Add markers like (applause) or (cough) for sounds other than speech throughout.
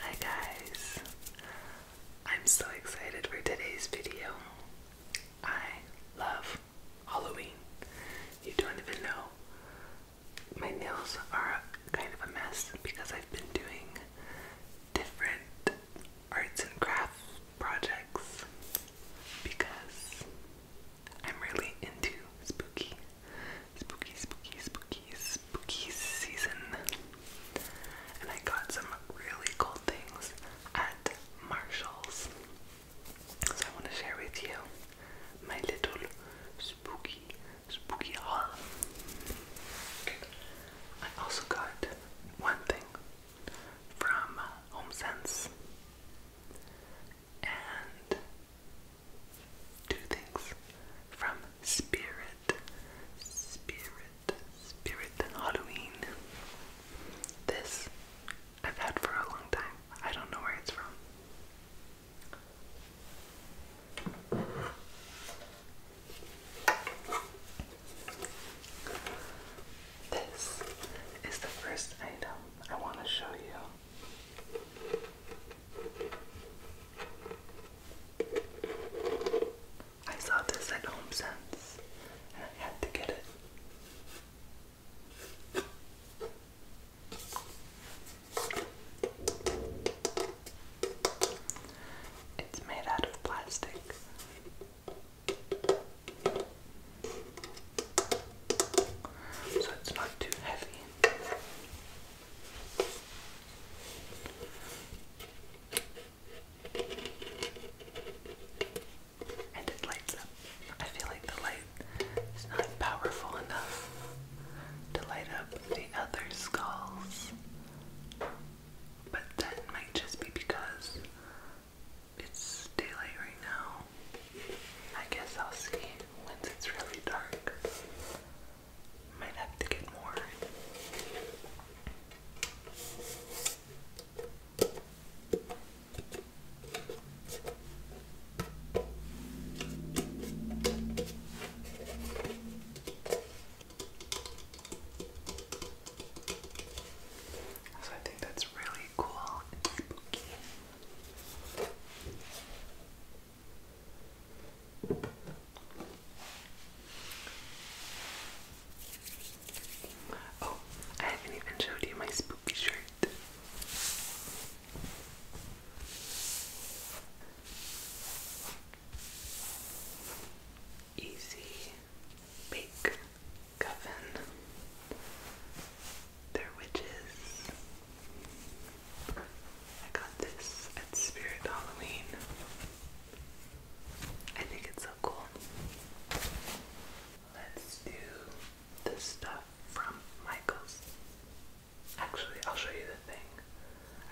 Hi guys! I'm so excited for today's video. I love Halloween. You don't even know. My nails are kind of a mess because I've been doing different arts and crafts projects because I'm really into spooky spooky, spooky, spooky, spooky season. And I got some really cool things at Marshall's. So I want to share with you my little spooky, spooky haul. I also got one thing from HomeSense and two things from Spirit spirit, spirit, spirit Halloween. This I've had for a long time. I don't know where it's from. This is the first item I want to show you. I saw this at HomeSense and I had to get it. It's made out of plastic. So it's not too heavy. And it lights up. I feel like the light is not powerful enough to light up the other skulls. But that might just be because it's daylight right now. I guess I'll see once it's really dark might have to get more. So I think that's really cool and spooky. Oh, I haven't even showed you my spooky shirt. Easy Bake Coven. They're witches. I got this at Spirit Halloween. I think it's so cool. Let's do the stuff from Michael's. Actually, I'll show you the thing.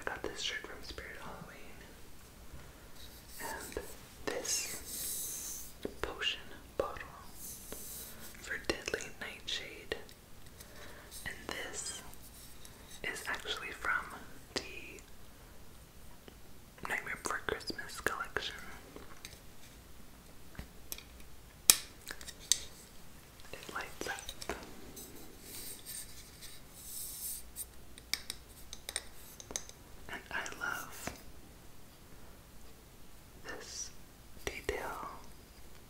I got this shirt from Spirit Halloween. And this potion bottle for Deadly Nightshade. And this is actually from the Nightmare Before Christmas collection. It lights up. And I love this detail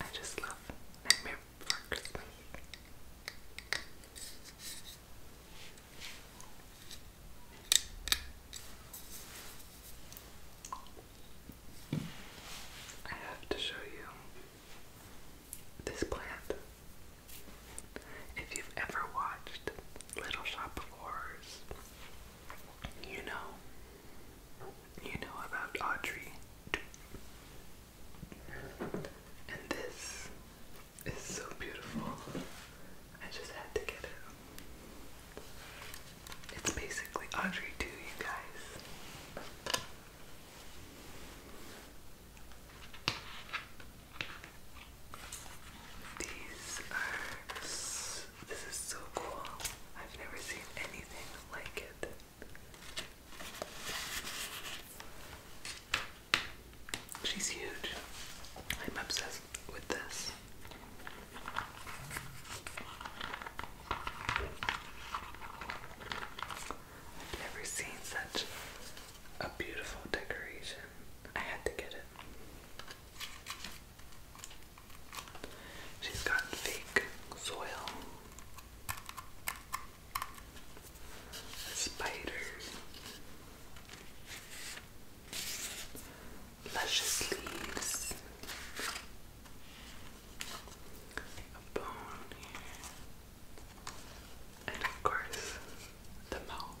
I just love Nightmare Before I have to show you this plant. If you've ever watched Little Shop of Horrors, you know you know about Audrey. And this is so beautiful. I just had to get it. It's basically Audrey 2, you guys. These are. This is so cool. I've never seen anything like it. She's huge. I'm obsessed with this. I've never seen such a beautiful decoration. I had to get it. She's got fake soil, a luscious leaves, a bone and of course the mouth.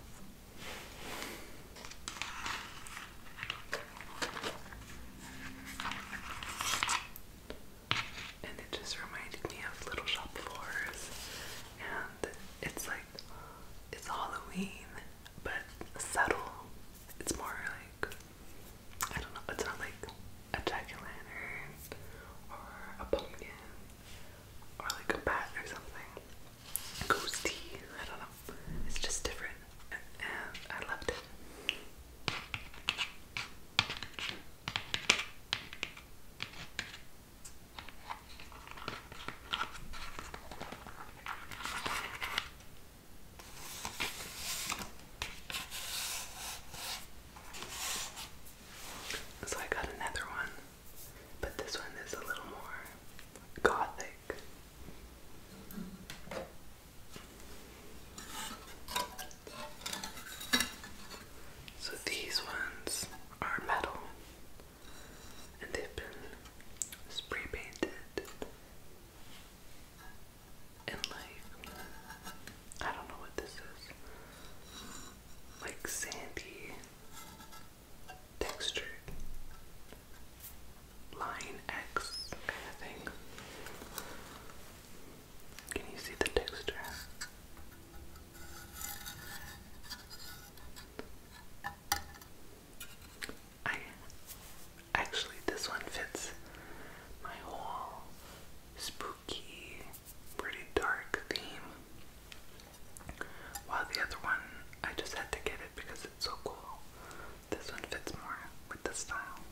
And it just reminded me of Little Shop Floors. And it's like, it's Halloween, but subtle. It's more like, I don't know, it's not like a jack o' lantern or a pumpkin or like a bat or something. Ghosty, I don't know. It's just different. And, I loved it. So I got another one, but this one is a little more gothic. So these ones are metal and they've been spray painted and like I don't know what this is like sandy textured line X kind of thing. Can you see the texture? I actually this one fits my whole spooky, pretty dark theme. While the other one I just had to get it because it's so cool. This one fits more with the style.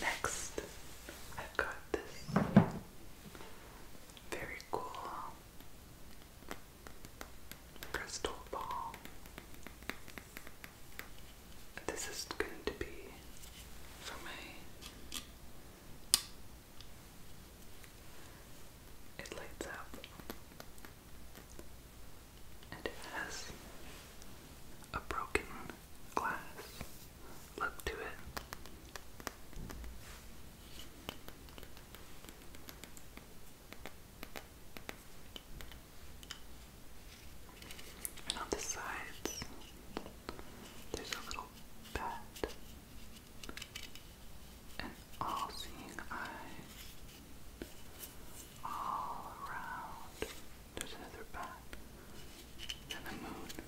Next, I've got this very cool crystal ball. This is going to be for me. It lights up and it has a broken glass look to it. And on the sides, there's a little bat, an all-seeing eye, all around. There's another bat, and the moon.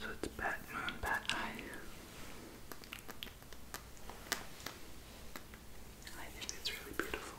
So it's bat moon, bat eye. I think it's really beautiful.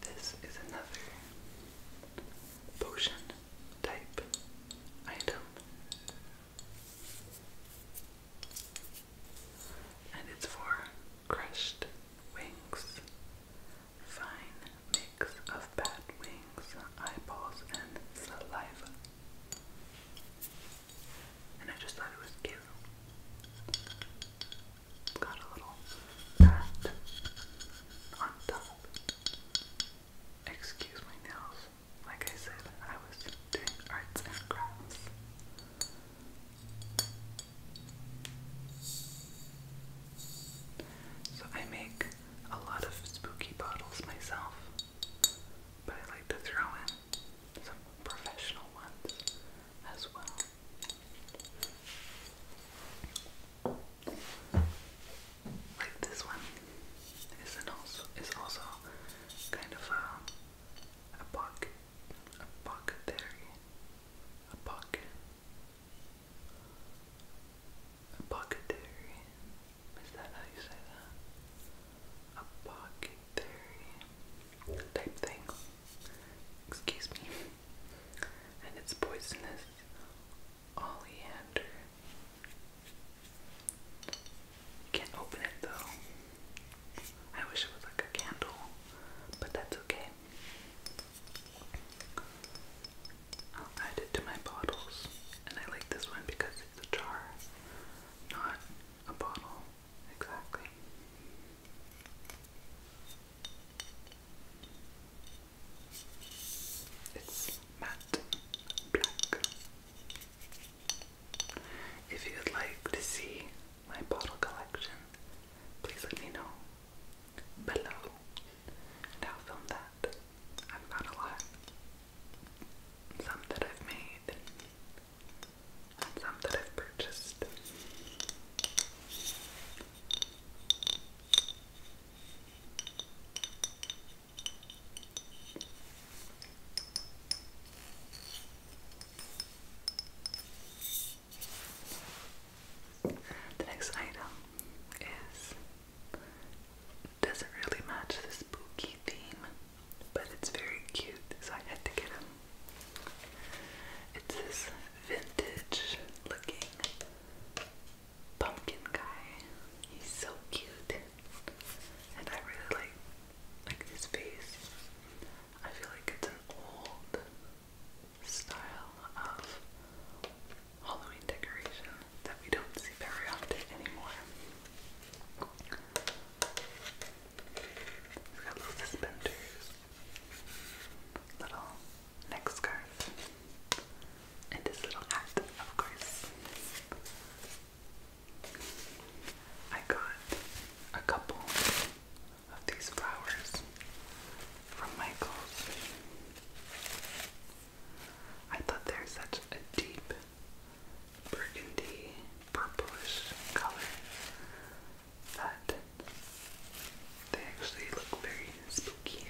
This is another potion type item. And it's for crushed wings, fine mix of bat wings, eyeballs, and saliva and I just thought it was cute. it got a little pat on top. Excuse my nails. Like I said, I was doing arts and crafts. So I make a lot of spooky bottles myself, but I like to throw in some professional ones as well. Like this one is an also is also kind of a a pocket a pocket A pocket a pocketary. Is that how you say that? A pocket type thing. Excuse me. And it's poisonous oleander. can't open it though. I wish it was like a candle, but that's okay. I'll add it to my bottles. And I like this one because it's a jar, not a bottle. Exactly. It's matte black. If you'd like to see my bottle collection, please let me know below. And film that. I've got a lot. Some that I've made and some that I've purchased. The next item is doesn't really match the spooky theme, but it's very cute, so I had to get him. It's this vintage looking pumpkin guy. He's so cute, and I really like like his face. I feel like it's an old style of Halloween decoration that we don't see very often anymore. It's got little suspenders, little neck scarf, and this little hat, of course. I got a couple of these flowers from Michaels. I thought they're such a deep burgundy, purplish color that they actually look very spooky.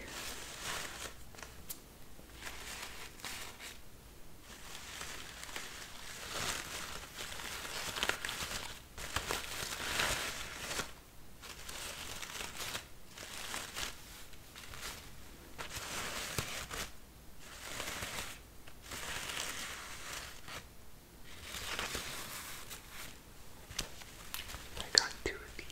I got two of these.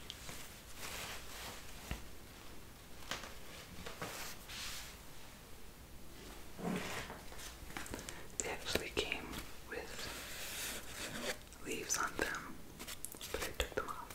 They actually came with leaves on them, but I took them off.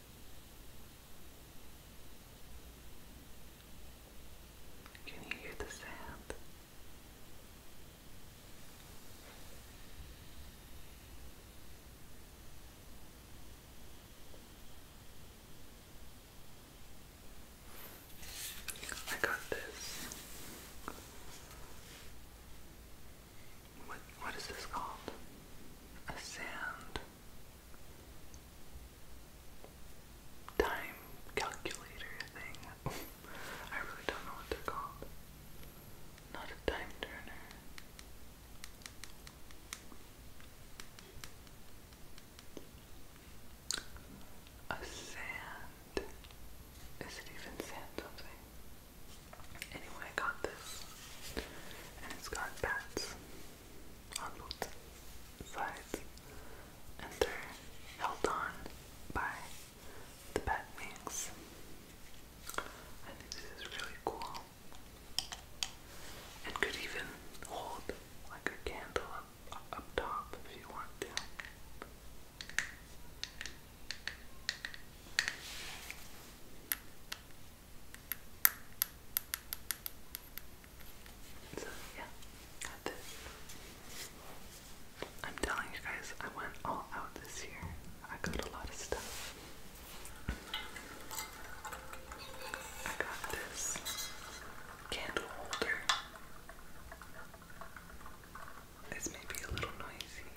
Can you hear the sound? I got this. What what is this called? A sand time calculator thing. (laughs) I really don't know what they're Not a time turner. A sand. Is it even sand something? Anyway, I got this. And it's got bats on both sides, and held on by the bat wings. I think this is really cool, and could even hold like a candle up, up top if you want to. So yeah, that's it. I'm telling you guys, I went all out this year. I got a lot of stuff. I got this candle holder. It's maybe a little noisy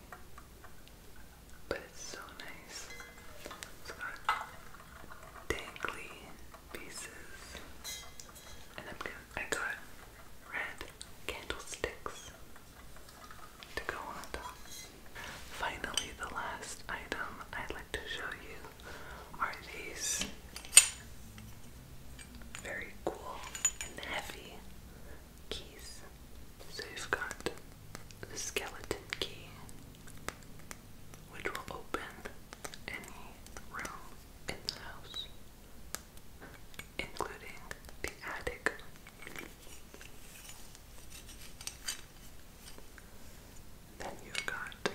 but it's so nice. It's got dangly pieces, and I got red candlesticks to go on top. Finally, the last item I'd like to show you are these very cool and heavy keys. So you've got the skeleton key, which will open any room in the house, including the attic. Then you got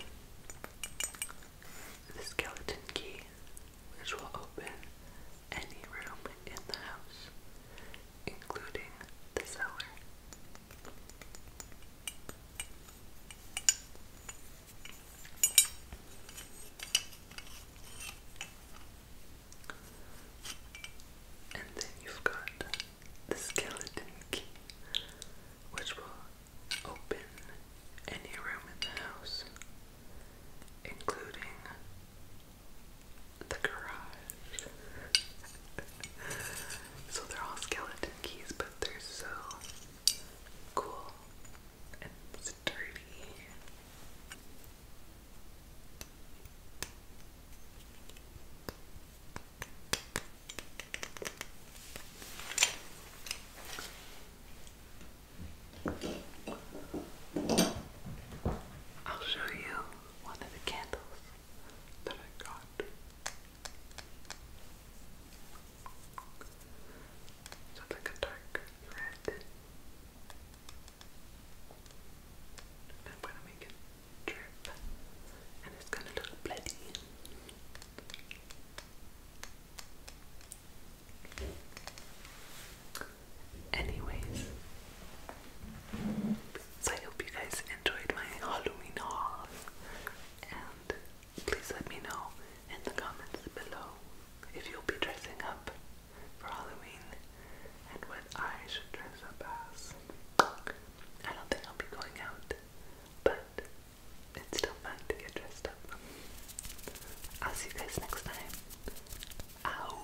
the skeleton key, which will open any room in the house, including the cellar. And then you've got the skeleton key, which will open any room in the house, including the garage. so they're all skeleton keys, but they're so cool and sturdy. I'll show you one of the candles that I got. So it's like a dark red. I'm gonna make it drip and it's gonna look bloody. Anyways, so I hope you guys enjoyed my Halloween haul. And please let me know in the comments below if you'll be dressing up for Halloween and what I should dress up as. I don't think I'll be going out, but it's still fun to get dressed up. I'll see you guys next time. Ow!